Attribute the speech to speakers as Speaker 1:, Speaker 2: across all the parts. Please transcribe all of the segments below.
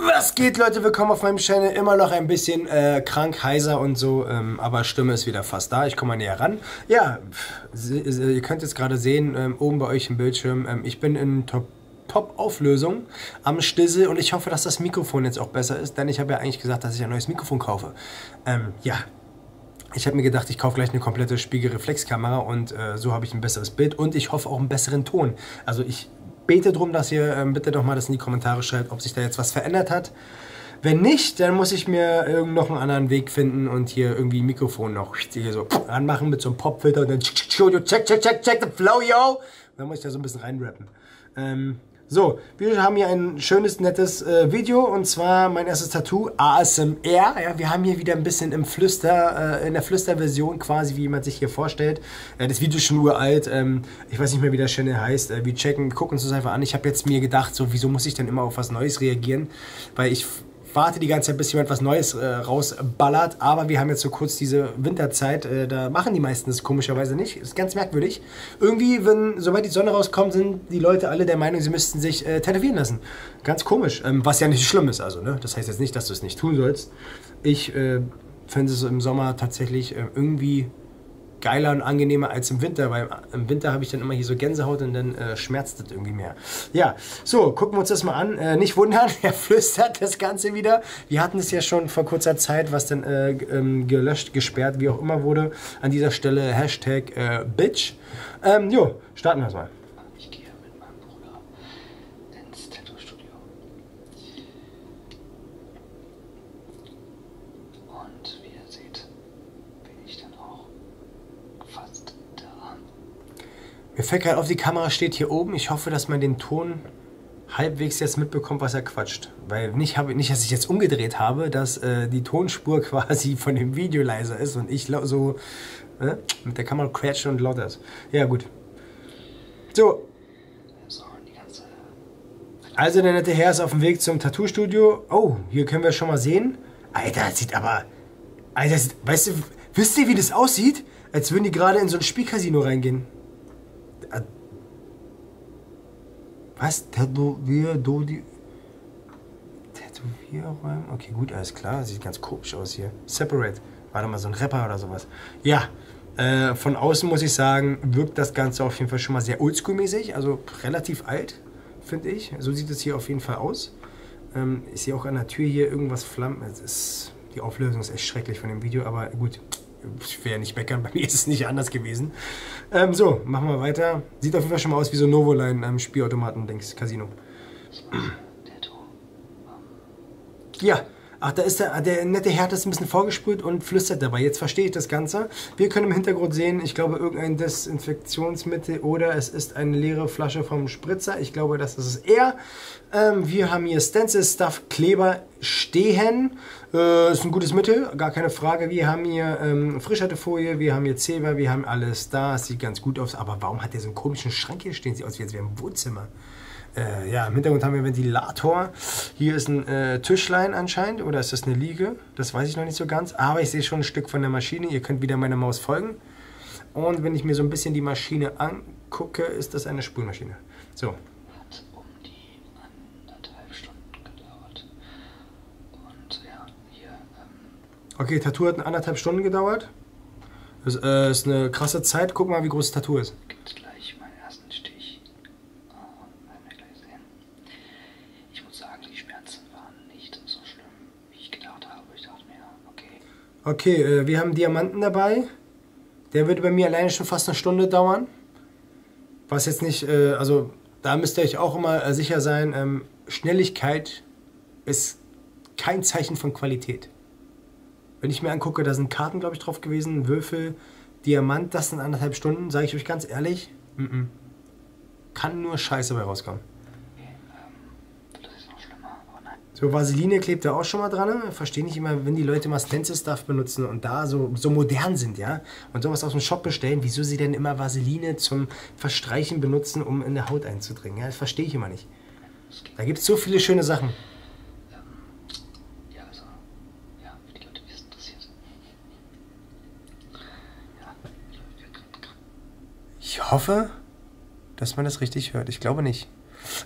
Speaker 1: Was geht, Leute? Willkommen auf meinem Channel. Immer noch ein bisschen äh, krank, heiser und so, ähm, aber Stimme ist wieder fast da. Ich komme mal näher ran. Ja, pff, äh, ihr könnt jetzt gerade sehen, ähm, oben bei euch im Bildschirm, ähm, ich bin in Top Top-Auflösung am Stissel und ich hoffe, dass das Mikrofon jetzt auch besser ist, denn ich habe ja eigentlich gesagt, dass ich ein neues Mikrofon kaufe. Ähm, ja, ich habe mir gedacht, ich kaufe gleich eine komplette Spiegelreflexkamera und äh, so habe ich ein besseres Bild und ich hoffe auch einen besseren Ton. Also ich bete drum, dass ihr ähm, bitte doch mal das in die Kommentare schreibt, ob sich da jetzt was verändert hat. Wenn nicht, dann muss ich mir irgend noch einen anderen Weg finden und hier irgendwie ein Mikrofon noch hier so anmachen mit so einem Popfilter und dann check, check, check, check, check the flow, yo. Und dann muss ich da so ein bisschen reinrappen. Ähm, so, wir haben hier ein schönes, nettes äh, Video und zwar mein erstes Tattoo, ASMR. Ja, wir haben hier wieder ein bisschen im Flüster, äh, in der Flüsterversion quasi, wie jemand sich hier vorstellt. Äh, das Video ist schon uralt, ähm, ich weiß nicht mehr, wie der Channel heißt. Äh, wir checken, gucken uns das einfach an. Ich habe jetzt mir gedacht, so, wieso muss ich denn immer auf was Neues reagieren? Weil ich warte die ganze Zeit, bis jemand was Neues äh, rausballert. Aber wir haben jetzt so kurz diese Winterzeit. Äh, da machen die meisten das komischerweise nicht. Ist ganz merkwürdig nicht. Irgendwie, wenn, sobald die Sonne rauskommt, sind die Leute alle der Meinung, sie müssten sich äh, tätowieren lassen. Ganz komisch. Ähm, was ja nicht schlimm ist, also, ne? Das heißt jetzt nicht, dass du es nicht tun sollst. Ich äh, finde es im Sommer tatsächlich äh, irgendwie geiler und angenehmer als im Winter, weil äh, im Winter habe ich dann immer hier so Gänsehaut und dann äh, schmerzt das irgendwie mehr. Ja, so, gucken wir uns das mal an. Äh, nicht wundern, er flüstert das Ganze wieder. Wir hatten es ja schon vor kurzer Zeit, was dann äh, ähm, gelöscht, gesperrt, wie auch immer wurde. An dieser Stelle Hashtag äh, Bitch. Ähm, jo, starten wir mal. Ich gehe mit meinem Bruder ins Tattoo-Studio.
Speaker 2: Und wie ihr seht, bin ich dann auch fast da.
Speaker 1: Mir fällt gerade auf, die Kamera steht hier oben. Ich hoffe, dass man den Ton halbwegs jetzt mitbekommt, was er quatscht rauscht. Weil nicht, hab, nicht dass ich jetzt umgedreht habe, dass äh, die Tonspur quasi von dem Video leiser ist und ich so äh, mit der Kamera quetsche und lauter ist. Ja, gut. So. Also, der nette Herr ist auf dem Weg zum Tattoo-Studio. Oh, hier können wir schon mal sehen. Alter, das sieht aber... Alter, das sieht, weißt du, wisst ihr, wie das aussieht? Als würden die gerade in so ein Spielcasino reingehen. Was? Tätowier, Dodi. Tätowierräume? Okay, gut, alles klar. Sieht ganz komisch aus hier. Separate. Warte mal, so ein Rapper oder sowas. Ja, äh, von außen muss ich sagen, wirkt das Ganze auf jeden Fall schon mal sehr oldschool-mäßig. Also relativ alt, finde ich. So sieht es hier auf jeden Fall aus. Ähm, ich sehe auch an der Tür hier irgendwas flammen. Es ist, die Auflösung ist echt schrecklich von dem Video, aber gut. Ich will ja nicht meckern, bei mir ist es nicht anders gewesen. Ähm, so, machen wir weiter. Sieht auf jeden Fall schon mal aus wie so Novoline am ähm, Spielautomaten-Dings, Casino. Ja, ach, da ist der, der nette Herd ist ein bisschen vorgesprüht und flüstert dabei. Jetzt verstehe ich das Ganze. Wir können im Hintergrund sehen, ich glaube, irgendein Desinfektionsmittel oder es ist eine leere Flasche vom Spritzer. Ich glaube, das ist es eher. Ähm, wir haben hier Stencil Stuff Kleber stehen. Äh, ist ein gutes Mittel, gar keine Frage. Wir haben hier ähm, Frischhaltefolie, wir haben hier Zeber, wir haben alles da. Es sieht ganz gut aus. Aber warum hat der so einen komischen Schrank hier stehen? Sieht aus, wie als wäre ein Wohnzimmer. Äh, ja, im Hintergrund haben wir Ventilator. Hier ist ein äh, Tischlein anscheinend. Oder ist das eine Liege? Das weiß ich noch nicht so ganz. Aber ich sehe schon ein Stück von der Maschine. Ihr könnt wieder meiner Maus folgen. Und wenn ich mir so ein bisschen die Maschine angucke, ist das eine Spülmaschine. So. Hat um die die anderthalb Stunden gedauert. Und ja, hier. Ähm okay, Tattoo hat anderthalb Stunden gedauert. Das äh, ist eine krasse Zeit. Guck mal, wie groß das Tattoo ist. Gibt gleich meinen ersten Stich. Oh, werden wir
Speaker 2: gleich sehen. Ich muss sagen, die Schmerzen waren nicht so schlimm, wie ich gedacht habe. Ich dachte mir,
Speaker 1: okay. Okay, äh, wir haben Diamanten dabei. Der würde bei mir alleine schon fast eine Stunde dauern was jetzt nicht, äh, also da müsst ihr euch auch immer äh, sicher sein, ähm, Schnelligkeit ist kein Zeichen von Qualität. Wenn ich mir angucke, da sind Karten, glaube ich, drauf gewesen, Würfel, Diamant, das sind anderthalb Stunden, sage ich euch ganz ehrlich, mm -mm. kann nur Scheiße bei rauskommen. So Vaseline klebt da auch schon mal dran. Ne? Verstehe nicht immer, wenn die Leute mal Stencil Stuff benutzen und da so, so modern sind, ja und sowas aus dem Shop bestellen, wieso sie denn immer Vaseline zum Verstreichen benutzen, um in der Haut einzudringen. Ja, das verstehe ich immer nicht. Da gibt es so viele schöne Sachen. Also, ich hoffe, dass man das richtig hört. Ich glaube nicht.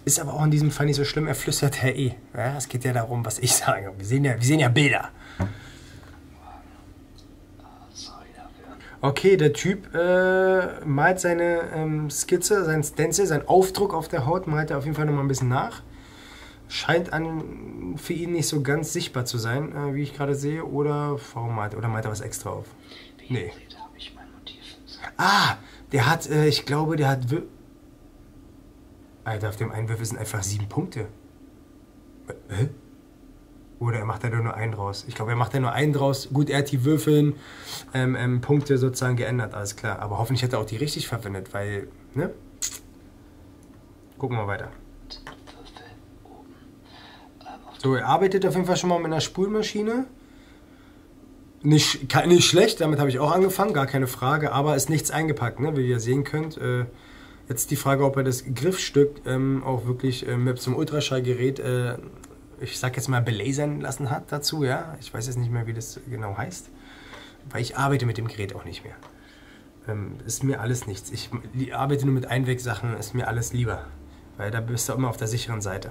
Speaker 1: Ist aber auch in diesem Fall nicht so schlimm. Er flüstert ja eh. Ja, es geht ja darum, was ich sage. Wir sehen ja, wir sehen ja Bilder. Okay, der Typ äh, malt seine ähm, Skizze, sein Stencil, seinen Aufdruck auf der Haut, malt er auf jeden Fall nochmal ein bisschen nach. Scheint an, für ihn nicht so ganz sichtbar zu sein, äh, wie ich gerade sehe. Oder warum malt, oder malt er was extra auf? Nee. Ah, der hat, äh, ich glaube, der hat... Alter, auf dem Einwurf sind einfach sieben Punkte. Hä? Oder er macht da nur einen draus. Ich glaube, er macht da nur einen draus. Gut, er hat die Würfeln, ähm, ähm, Punkte sozusagen geändert, alles klar. Aber hoffentlich hat er auch die richtig verwendet, weil, ne? Gucken wir weiter. So, er arbeitet auf jeden Fall schon mal mit einer Spülmaschine. Nicht, nicht schlecht, damit habe ich auch angefangen, gar keine Frage, aber ist nichts eingepackt, ne? wie ihr sehen könnt. Äh, Jetzt die Frage, ob er das Griffstück ähm, auch wirklich äh, mit so einem Ultraschallgerät, äh, ich sag jetzt mal, belasern lassen hat dazu, ja. Ich weiß jetzt nicht mehr, wie das genau heißt, weil ich arbeite mit dem Gerät auch nicht mehr. Ähm, ist mir alles nichts. Ich arbeite nur mit Einwegsachen, ist mir alles lieber, weil da bist du immer auf der sicheren Seite.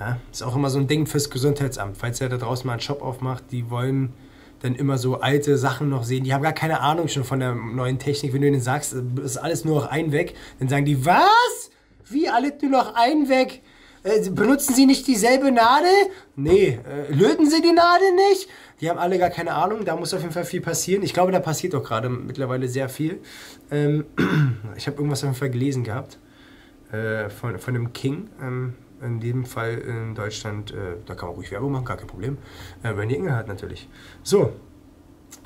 Speaker 1: Ja? Ist auch immer so ein Ding fürs Gesundheitsamt, falls ihr da draußen mal einen Shop aufmacht, die wollen dann immer so alte Sachen noch sehen. Die haben gar keine Ahnung schon von der neuen Technik. Wenn du denen sagst, ist alles nur noch ein weg, dann sagen die, was? Wie alles nur noch ein weg? Äh, benutzen sie nicht dieselbe Nadel? Nee. Äh, löten sie die Nadel nicht? Die haben alle gar keine Ahnung. Da muss auf jeden Fall viel passieren. Ich glaube, da passiert auch gerade mittlerweile sehr viel. Ähm, ich habe irgendwas auf jeden Fall gelesen gehabt. Äh, von, von dem King. Ähm, in dem Fall in Deutschland. Äh, da kann man ruhig Werbung machen, gar kein Problem. Äh, Randy Engelhardt natürlich. So,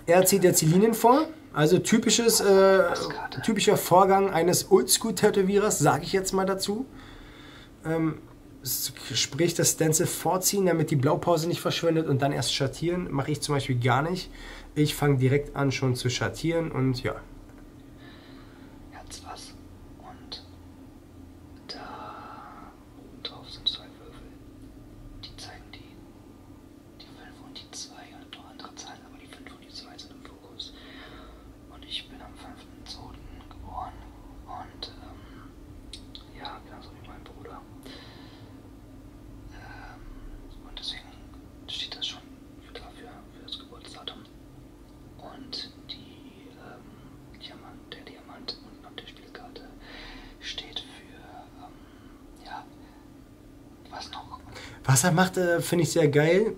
Speaker 1: er zieht jetzt die Linien vor. Also typisches, äh, typischer Vorgang eines Oldschool-Tätowierers, sage ich jetzt mal dazu. Ähm, sprich das Stencil vorziehen, damit die Blaupause nicht verschwindet und dann erst schattieren. Mache ich zum Beispiel gar nicht. Ich fange direkt an schon zu schattieren und ja. Jetzt was. Und
Speaker 2: da. Oben drauf sind zwei Würfel. Die zeigen die, die 5 und die 2 und noch andere Zahlen, aber die 5 und die 2 sind im Fokus. Und ich bin am 5.2. geboren und ähm, ja, genauso wie mein Bruder. Ähm, und deswegen steht das schon klar für, für das Geburtsdatum. Und die die, ähm, Diamant, der Diamant unten auf der Spielkarte steht für,
Speaker 1: ähm, ja, was noch? Was er macht, äh, finde ich sehr geil.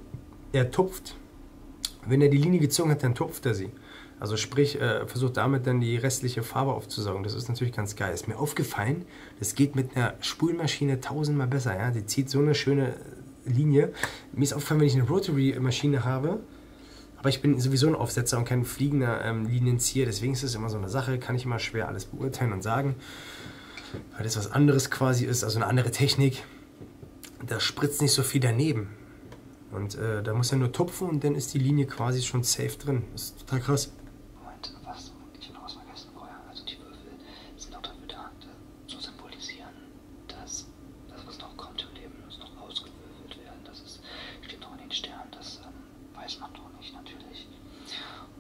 Speaker 1: Er tupft. Wenn er die Linie gezogen hat, dann tupft er sie. Also sprich, äh, versucht damit dann die restliche Farbe aufzusaugen. Das ist natürlich ganz geil. Ist mir aufgefallen, das geht mit einer Spulmaschine tausendmal besser. Ja? Die zieht so eine schöne Linie. Mir ist aufgefallen, wenn ich eine Rotary-Maschine habe, aber ich bin sowieso ein Aufsetzer und kein fliegender ähm, Linienzieher, deswegen ist es immer so eine Sache, kann ich immer schwer alles beurteilen und sagen, weil das was anderes quasi ist, also eine andere Technik. Da spritzt nicht so viel daneben. Und äh, da muss er nur tupfen und dann ist die Linie quasi schon safe drin. Das ist total krass. Also
Speaker 2: dass das, was noch kommt im Leben, muss noch ausgewürfelt werden. Das das steht noch in den Sternen, das ähm, weiß man noch nicht natürlich.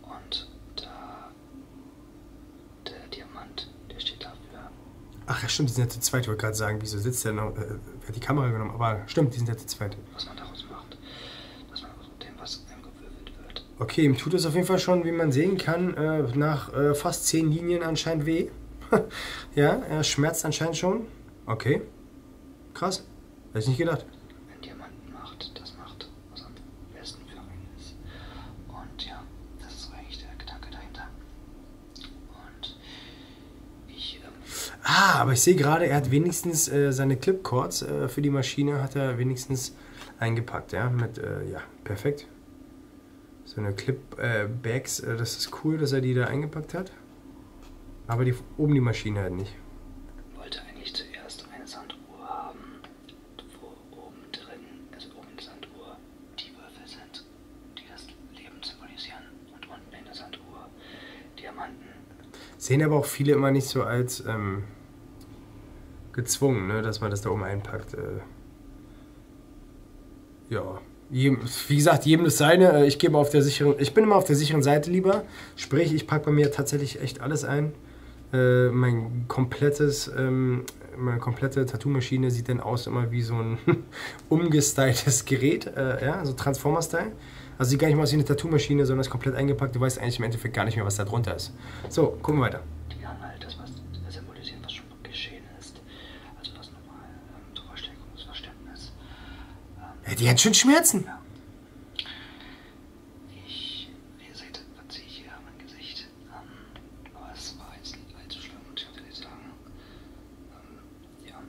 Speaker 2: Und da,
Speaker 1: der Diamant, der steht dafür. Ach ja, stimmt, die sind ja zu zweit, ich wollte gerade sagen, wieso sitzt der noch, äh, hat die Kamera genommen, aber stimmt, die sind ja zu zweit.
Speaker 2: Was man daraus macht, dass man aus dem, was eingewürfelt
Speaker 1: wird. Okay, ihm tut es auf jeden Fall schon, wie man sehen kann, äh, nach äh, fast zehn Linien anscheinend weh. ja, er schmerzt anscheinend schon. Okay. Krass. Hätte ich nicht gedacht. Wenn Diamanten macht, das macht, was am besten für einen ist. Und ja, das ist so eigentlich der Gedanke dahinter. Und ich. Ähm ah, aber ich sehe gerade, er hat wenigstens äh, seine Clipcords äh, für die Maschine hat er wenigstens eingepackt, ja. Mit, äh, ja, perfekt so eine Clip-Bags. Äh, äh, das ist cool, dass er die da eingepackt hat. Aber die oben die Maschine halt nicht. Wollte eigentlich zuerst eine Sanduhr haben, wo
Speaker 2: oben drin, also oben in der Sanduhr, die Würfel sind, die das Leben symbolisieren. Und unten in der Sanduhr Diamanten.
Speaker 1: Sehen aber auch viele immer nicht so als ähm, gezwungen, ne, dass man das da oben einpackt. Äh ja, wie gesagt, jedem das seine. Äh, ich gebe auf der sicheren, ich bin immer auf der sicheren Seite lieber. Sprich, ich packe bei mir tatsächlich echt alles ein. Äh, mein komplettes, ähm, meine komplette Tattoo-Maschine sieht dann aus immer wie so ein umgestyltes Gerät, äh, ja, so Transformer-Style. Also sieht gar nicht mal aus wie eine Tattoo-Maschine, sondern ist komplett eingepackt. Du weißt eigentlich im Endeffekt gar nicht mehr, was da drunter ist. So, gucken wir weiter. Die
Speaker 2: Anhalter, was symbolisieren, was schon geschehen ist ist. Also das nochmal ähm, zur Verstärkung des Verständnisses.
Speaker 1: Ähm, ja, die hat schon Schmerzen. Ja. Ich, ihr seht, verziehe ich hier mein Gesicht. Ähm, aber es war jetzt nicht allzu schlimm, muss ich wirklich sagen. Ähm, ja,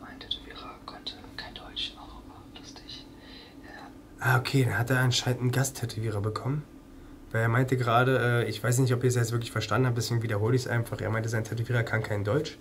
Speaker 1: mein Tätowierer konnte kein Deutsch, auch aber lustig. Äh, ah, okay, dann hat er anscheinend einen Gasttätowierer bekommen. Weil er meinte gerade, äh, ich weiß nicht, ob ihr es jetzt wirklich wirklich verstanden habe, deswegen wiederhole ich es einfach. Er meinte, sein Tätowierer kann kein Deutsch.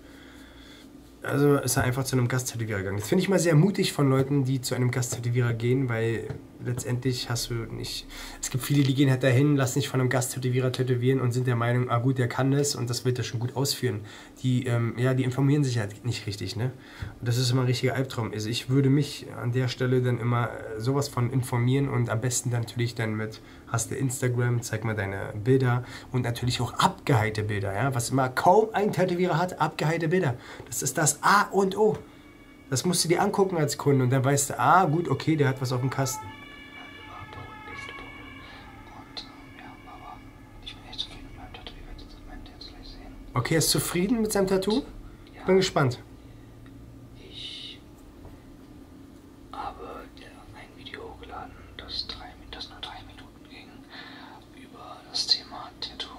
Speaker 1: Also ist er einfach zu einem Gasttätowierer gegangen. Das finde ich mal sehr mutig von Leuten, die zu einem Gasttätowierer gehen, weil letztendlich hast du nicht. Es gibt viele, die gehen halt dahin, lassen sich von einem Gasttätowierer tätowieren und sind der Meinung, ah gut, der kann das und das wird er schon gut ausführen. Die, ähm, ja, die informieren sich halt nicht richtig, ne? Und das ist immer ein richtiger Albtraum. Also ich würde mich an der Stelle dann immer sowas von informieren und am besten dann natürlich dann mit Snapchat, hast du Instagram, zeig mal deine Bilder und natürlich auch abgeheilte Bilder, ja, was immer kaum ein Tätowierer hat, abgeheilte Bilder. Das ist das A und O. Das musst du dir angucken als Kunde und dann weißt du, ah, gut, okay, der hat was auf dem Kasten. Okay, er ist zufrieden mit seinem Tattoo? Bin gespannt
Speaker 2: habe ein Video hochgeladen, das, drei, das nur drei Minuten ging, über das Thema Tattoo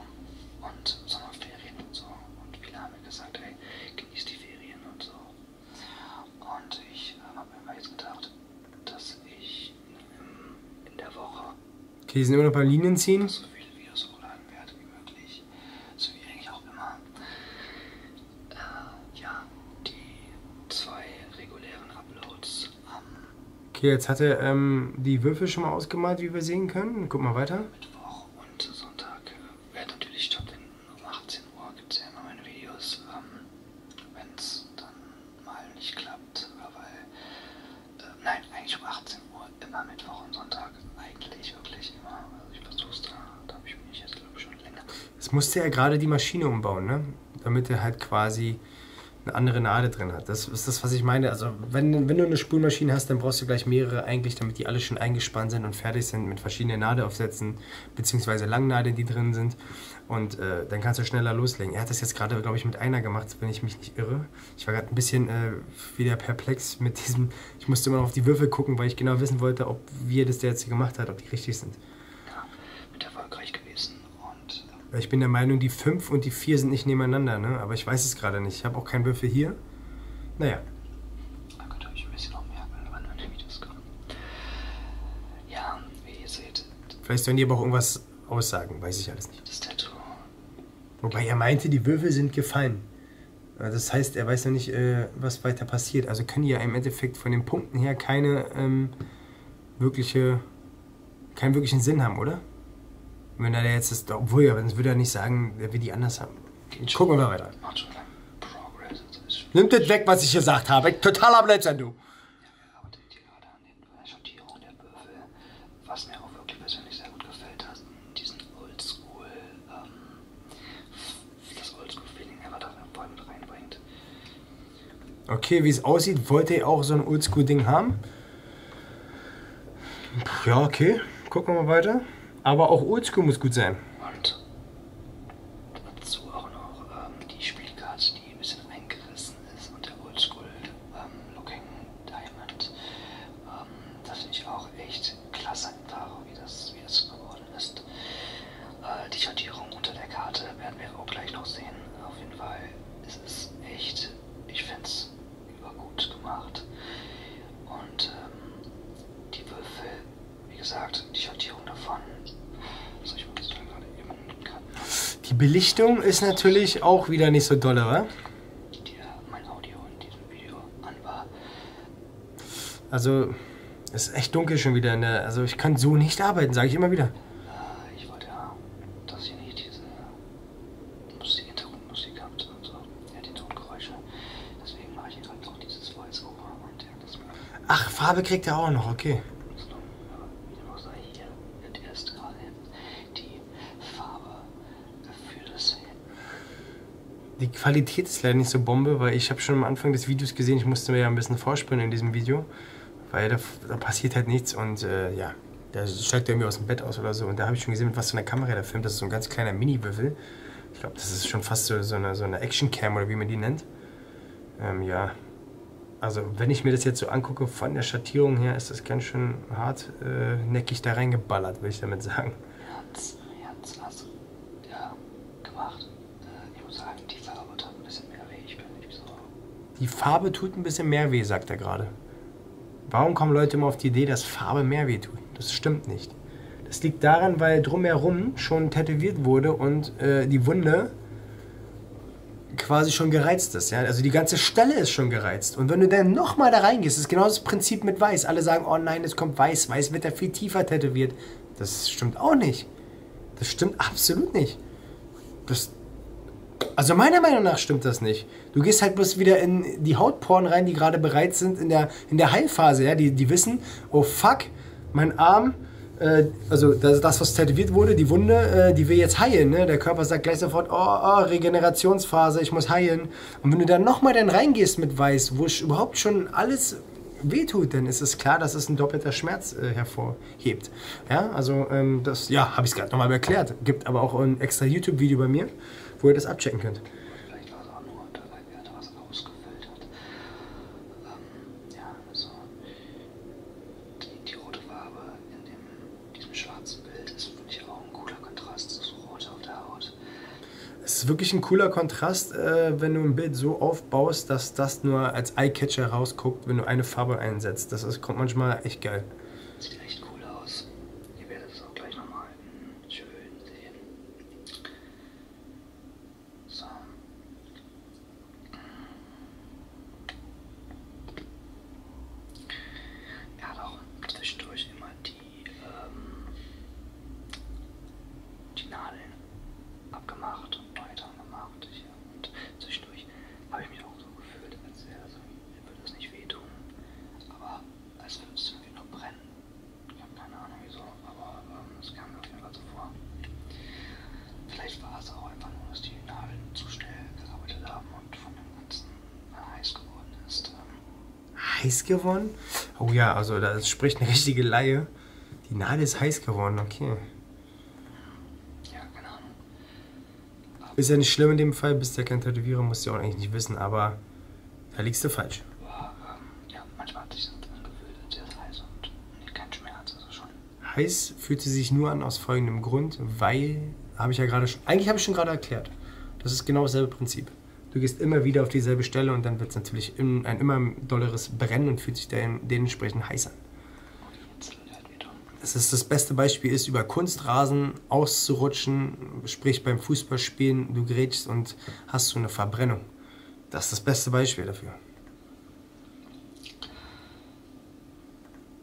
Speaker 2: und Sommerferien und so. Und viele haben mir gesagt, ey, genieß die Ferien und so. Und ich äh, habe mir mal jetzt gedacht, dass ich
Speaker 1: in, in der Woche... Okay, hier sind immer noch ein paar Linien ziehen. So viele Videos hochladen werde wie möglich. So wie eigentlich auch immer äh, ja, die zwei regulären Uploads am. Okay, jetzt hat er ähm, die Würfel schon mal ausgemalt, wie wir sehen können. Guck mal weiter. Mittwoch und Sonntag äh, werde natürlich stattfinden. Um 18 Uhr gibt es ja immer meine
Speaker 2: Videos. Ähm, Wenn es dann mal nicht klappt, weil. Äh, nein, eigentlich um 18 Uhr immer Mittwoch und Sonntag.
Speaker 1: Eigentlich wirklich immer. Also ich versuch's da. Da habe ich mich jetzt, glaube ich, schon länger. Jetzt musste er gerade die Maschine umbauen, ne? damit er halt quasi eine andere Nadel drin hat. Das ist das, was ich meine. Also wenn, wenn du eine Spülmaschine hast, dann brauchst du gleich mehrere eigentlich, damit die alle schon eingespannt sind und fertig sind mit verschiedenen Nadelaufsätzen, beziehungsweise Langnadeln, die drin sind. Und äh, dann kannst du schneller loslegen. Er hat das jetzt gerade, glaube ich, mit einer gemacht, wenn ich mich nicht irre. Ich war gerade ein bisschen äh, wieder perplex mit diesem. Ich musste immer auf die Würfel gucken, weil ich genau wissen wollte, ob wir das der jetzt gemacht hat, ob die richtig sind ja, mit erfolgreich gewesen. Und, ähm ich bin der Meinung, die 5 und die 4 sind nicht nebeneinander, ne? aber ich weiß es gerade nicht. Ich habe auch keinen Würfel hier. Naja. Da könnt ihr euch ein bisschen auch merken, wann meine Videos kommen. Ja, wie ihr seht. Vielleicht sollen die aber auch irgendwas aussagen, weiß ich alles nicht. Das Tattoo. Wobei er meinte, die Würfel sind gefallen. Das heißt, er weiß noch nicht, äh, was weiter passiert. Also können die ja im Endeffekt Endeffekt von den Punkten her keine ähm, wirkliche, keinen wirklichen Sinn haben, oder? Wenn er jetzt ist, obwohl ja, sonst würde er nicht sagen, er will die anders haben. Gucken wir mal weiter. Nimm das weg, was ich gesagt habe. Totaler Blödsinn, du. was mir auch wirklich persönlich sehr gut gefällt hat, diesen Oldschool ähm, das Oldschool-Feeling einfach da voll mit reinbringt. Okay, wie es aussieht, wollte ich auch so ein Oldschool-Ding haben. Ja, okay. Gucken wir mal weiter. Aber auch Oldschool muss gut sein. Und dazu auch noch ähm, die Spielkarte,
Speaker 2: die ein bisschen eingerissen ist und der Oldschool ähm, Looking Diamond. Ähm, das finde ich auch echt klasse, einfach, wie das, wie das gebaut worden ist. Äh, die Schattierung unter der Karte werden wir auch gleich noch sehen. Auf jeden Fall ist es echt, ich finde es übergut gemacht. Und ähm, die Würfel, wie gesagt, die Schattierung davon. Was soll ich mal gerade
Speaker 1: eben Die Belichtung ist natürlich auch wieder nicht so dolle, oder? Die, äh, mein Audio in diesem Video an war. Also, es ist echt dunkel schon wieder. Ne? Also, ich kann so nicht arbeiten, sage ich immer wieder. Ich
Speaker 2: wollte ja, dass ihr nicht diese lustige Tonmusik habt und so. Ja, die Tongeräusche. Deswegen mache ich hier halt noch dieses Voice-Over und ja, das
Speaker 1: Ach, Farbe kriegt er auch noch, okay. Die Qualität ist leider nicht so Bombe, weil ich habe schon am Anfang des Videos gesehen, ich musste mir ja ein bisschen vorspringen in diesem Video, weil da, da passiert halt nichts und äh, ja, da steigt er irgendwie aus dem Bett aus oder so und da habe ich schon gesehen, mit was für einer Kamera der filmt, das ist so ein ganz kleiner Mini-Würfel. Ich glaube, das ist schon fast so, so eine, so eine Action-Cam oder wie man die nennt. Ähm, ja, also wenn ich mir das jetzt so angucke, von der Schattierung her ist das ganz schön hartnäckig äh, da reingeballert, will ich damit sagen. Er hat es ja, gemacht. Ich muss sagen, die Farbe tut ein bisschen mehr weh. Ich bin nicht so. Die Farbe tut ein bisschen mehr weh, sagt er gerade. Warum kommen Leute immer auf die Idee, dass Farbe mehr weh tut? Das stimmt nicht. Das liegt daran, weil drumherum schon tätowiert wurde und äh, die Wunde quasi schon gereizt ist. Ja? Also die ganze Stelle ist schon gereizt. Und wenn du dann nochmal da reingehst, ist genau das Prinzip mit Weiß. Alle sagen, oh nein, es kommt Weiß, Weiß wird da viel tiefer tätowiert. Das stimmt auch nicht. Das stimmt absolut nicht. Das, also meiner Meinung nach stimmt das nicht. Du gehst halt bloß wieder in die Hautporen rein, die gerade bereit sind in der, in der Heilphase. Ja? Die, die wissen, oh fuck, mein Arm, äh, also das, das, was tätowiert wurde, die Wunde, äh, die will jetzt heilen. Ne? Der Körper sagt gleich sofort, oh, oh, Regenerationsphase, ich muss heilen. Und wenn du dann nochmal dann reingehst mit Weiß, wo überhaupt schon alles wehtut, dann ist es klar, dass es ein doppelter Schmerz äh, hervorhebt. Ja, also ähm, das, ja, habe ich es gerade nochmal erklärt. Gibt aber auch ein extra YouTube-Video bei mir, wo ihr das abchecken könnt. Vielleicht war es auch nur dabei, wer da was rausgefiltert.
Speaker 2: Ähm, ja, also die, die, rote Farbe in dem, diesem
Speaker 1: schwarzen Bild ist, finde ich, auch ein cooler Kontrast zu Rot auf der Haut ist. Es ist wirklich ein cooler Kontrast, äh, wenn du ein Bild so aufbaust, dass das nur als Eyecatcher rausguckt, wenn du eine Farbe einsetzt. Das ist, kommt manchmal echt geil. Sieht echt cool aus. Ihr werdet es auch gleich nochmal hm, schön sehen.
Speaker 2: So. Er hat auch zwischendurch immer die ähm, die Nadeln abgemacht und weitergemacht. Hier. Und zwischendurch habe ich mich auch so gefühlt, als wäre das irgendwie, würde es nicht wehtun, aber als würde es irgendwie noch brennen. Ich habe keine Ahnung wieso, aber ähm, es ähm, kam mir auf jeden Fall so vor. Vielleicht war es auch einfach nur, dass die Nadeln zu
Speaker 1: schnell gearbeitet haben und von dem Ganzen äh, heiß geworden ist. Ähm, heiß geworden? Oh ja, also das spricht eine richtige Laie. Die Nadel ist heiß geworden, okay. Ja, keine Ahnung. Ist ja nicht schlimm in dem Fall, bist ja kein Tätowierer, musst du ja auch eigentlich nicht wissen, aber da liegst du falsch. Ähm, ja, manchmal hat sich das angefühlt, sehr heiß und nee, kein Schmerz, also schon. Heiß fühlt sie sich nur an aus folgendem Grund, weil, habe ich ja gerade schon, eigentlich habe ich schon gerade erklärt. Das ist genau dasselbe Prinzip. Du gehst immer wieder auf dieselbe Stelle und dann wird es natürlich im, ein immer dolleres Brennen und fühlt sich den, dementsprechend heiß an. Das ist das beste Beispiel ist, über Kunstrasen auszurutschen, sprich beim Fußballspielen, du grätschst und hast so eine Verbrennung. Das ist das beste Beispiel dafür.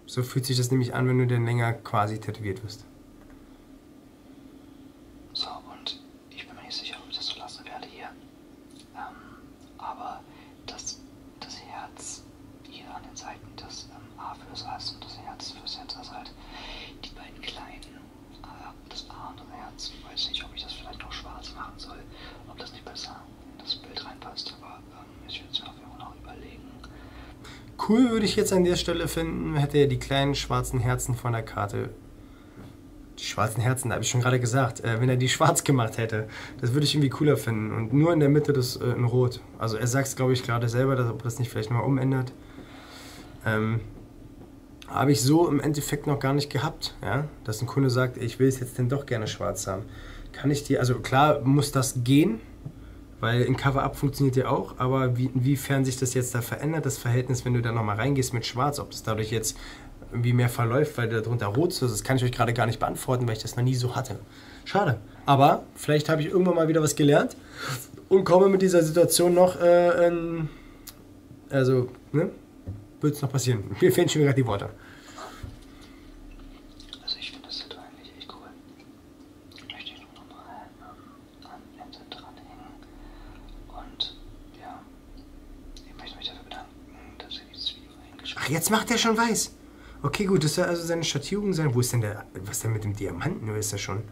Speaker 1: So fühlt sich das nämlich an, wenn du dann länger quasi tätowiert wirst.
Speaker 2: So, und ich bin mir nicht sicher, ob ich das so lassen werde hier. Ähm, aber das, das Herz hier an den Seiten, das ähm, A fürs Ass und das Herz fürs Herz, also halt die beiden kleinen, äh, das A und das Herz. Ich weiß nicht, ob ich das vielleicht noch schwarz machen soll, ob das nicht besser in das Bild reinpasst, aber ähm, ich werde es mir auf jeden Fall noch überlegen.
Speaker 1: Cool würde ich jetzt an der Stelle finden, hätte er die kleinen schwarzen Herzen von der Karte die schwarzen Herzen, da habe ich schon gerade gesagt. Äh, wenn er die schwarz gemacht hätte, das würde ich irgendwie cooler finden. Und nur in der Mitte das äh, in rot. Also er sagt es, glaube ich, gerade selber, dass, ob er das nicht vielleicht nochmal umändert. Ähm, habe ich so im Endeffekt noch gar nicht gehabt, ja? dass ein Kunde sagt, ich will es jetzt denn doch gerne schwarz haben. Kann ich die, also klar muss das gehen, weil ein Cover-Up funktioniert ja auch, aber wie, inwiefern sich das jetzt da verändert, das Verhältnis, wenn du da nochmal reingehst mit Schwarz, ob das dadurch jetzt irgendwie mehr verläuft, weil darunter rot ist. Das kann ich euch gerade gar nicht beantworten, weil ich das noch nie so hatte. Schade. Aber vielleicht habe ich irgendwann mal wieder was gelernt und komme mit dieser Situation noch, äh, in, also, ne? Wird es noch passieren. Mir fehlen schon gerade die Worte. Also, ähm,
Speaker 2: und ja, ich möchte mich dafür bedanken, dass ihr die Zwiebel
Speaker 1: eingeschmissen Ach, jetzt macht er schon weiß. Okay, gut, das soll also seine Schattierung sein. Wo ist denn der, was denn mit dem Diamanten? Wo ist er schon?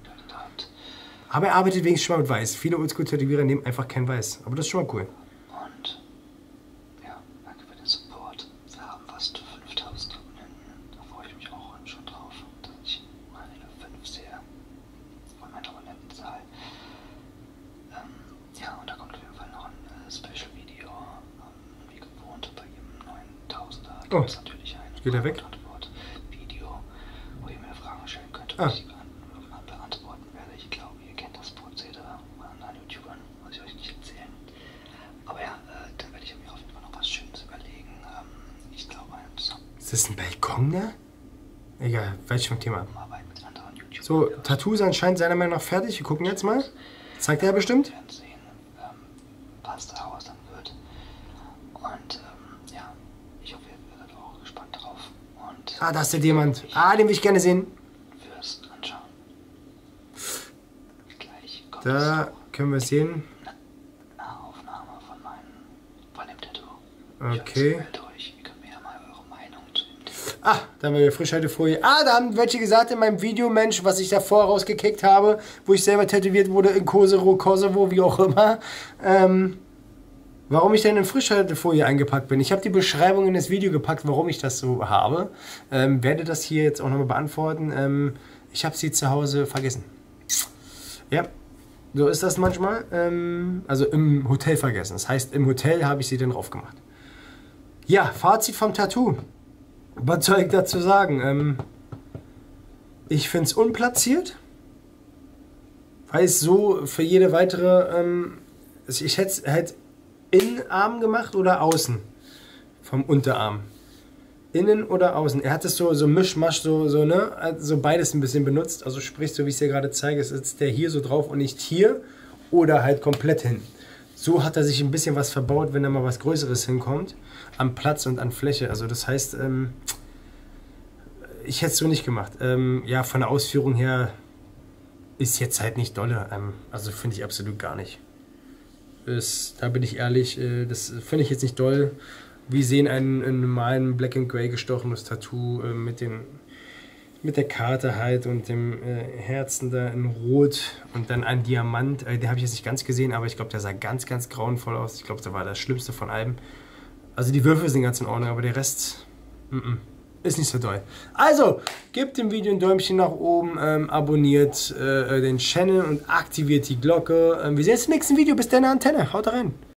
Speaker 1: Aber er arbeitet wenigstens schon mal mit Weiß. Viele Oldschool-Tätowierer nehmen einfach kein Weiß. Aber das ist schon mal cool. Und, ja, danke für den Support. Wir haben fast
Speaker 2: 5000 Abonnenten. Da freue ich mich auch schon drauf, dass ich meine 5 sehe und mein Toilettensaal. Ähm, ja, und da kommt auf jeden Fall noch ein äh, Special-Video, ähm,
Speaker 1: wie gewohnt, bei ihrem 9000er. Gibt oh. es natürlich ein Geht er weg? Antwort-Video, wo ihr mir Fragen stellen könnt. Ah. Ich äh,
Speaker 2: beantworten werde. Ich glaube, ihr kennt das Prozedere von anderen YouTubern, muss ich euch nicht erzählen. Aber ja, äh, dann werde ich mir auf jeden Fall noch was
Speaker 1: Schönes überlegen. Ähm, ich glaube, ein Sub. Ist das ein Balkon da? Egal, welch vom Thema. So, Tattoos anscheinend seiner Meinung nach fertig. Wir gucken jetzt mal. Zeigt er bestimmt. Passt ähm, daraus dann wird. Und ähm, ja, ich hoffe, ihr werdet auch gespannt drauf. ah, da ist der Diamant. Ah, den will ich gerne sehen. Da können wir es sehen. Von dem Tattoo. Okay. Halt durch. Ihr könnt mir ja mal eure Meinung zu dem Tattoo. Ah, da haben wir frischhalte Folie. Ah, da haben welche gesagt in meinem Video, Mensch, was ich davor rausgekickt habe, wo ich selber tätowiert wurde in Kosovo, Kosovo, wie auch immer. Ähm, warum ich denn in Frischhaltefolie eingepackt bin. Ich habe die Beschreibung in das Video gepackt, warum ich das so habe. Ähm, werde das hier jetzt auch nochmal beantworten. Ähm, ich habe sie zu Hause vergessen. Ja, so ist das manchmal. Ähm, also im Hotel vergessen. Das heißt, im Hotel habe ich sie dann drauf gemacht. Ja, Fazit vom Tattoo. Was soll ich dazu sagen? Ähm, ich finde es unplatziert, weil es so für jede weitere. Ähm, also ich hätte es halt Innenarm gemacht oder außen vom Unterarm. Innen oder außen. Er hat es so, so Mischmasch, so, so, ne? So also beides ein bisschen benutzt sitzt, also sprich, so wie ich es dir gerade zeige, sitzt der hier so drauf und nicht hier oder halt komplett hin. So hat er sich ein bisschen was verbaut, wenn da mal was Größeres hinkommt, am Platz und an Fläche. Also das heißt, ähm, ich hätte es so nicht gemacht. Ähm, ja, von der Ausführung her ist jetzt halt nicht dolle. Ähm, also finde ich absolut gar nicht. Ist, da bin ich ehrlich, äh, das finde ich jetzt nicht doll wie sehen ein, ein normalen Black and Gray gestochenes Tattoo äh, mit den mit der Karte halt und dem äh, Herzen da in Rot und dann ein Diamant. Äh, den habe ich jetzt nicht ganz gesehen, aber ich glaube, der sah ganz, ganz grauenvoll aus. Ich glaube, der war das Schlimmste von allem. Also die Würfel sind ganz in Ordnung, aber der Rest mm -mm, ist nicht so doll. Also, gebt dem Video ein Däumchen nach oben, ähm, abonniert äh, den Channel und aktiviert die Glocke. Ähm, wir sehen uns im nächsten Video. Bis dann, Antenne. Haut rein.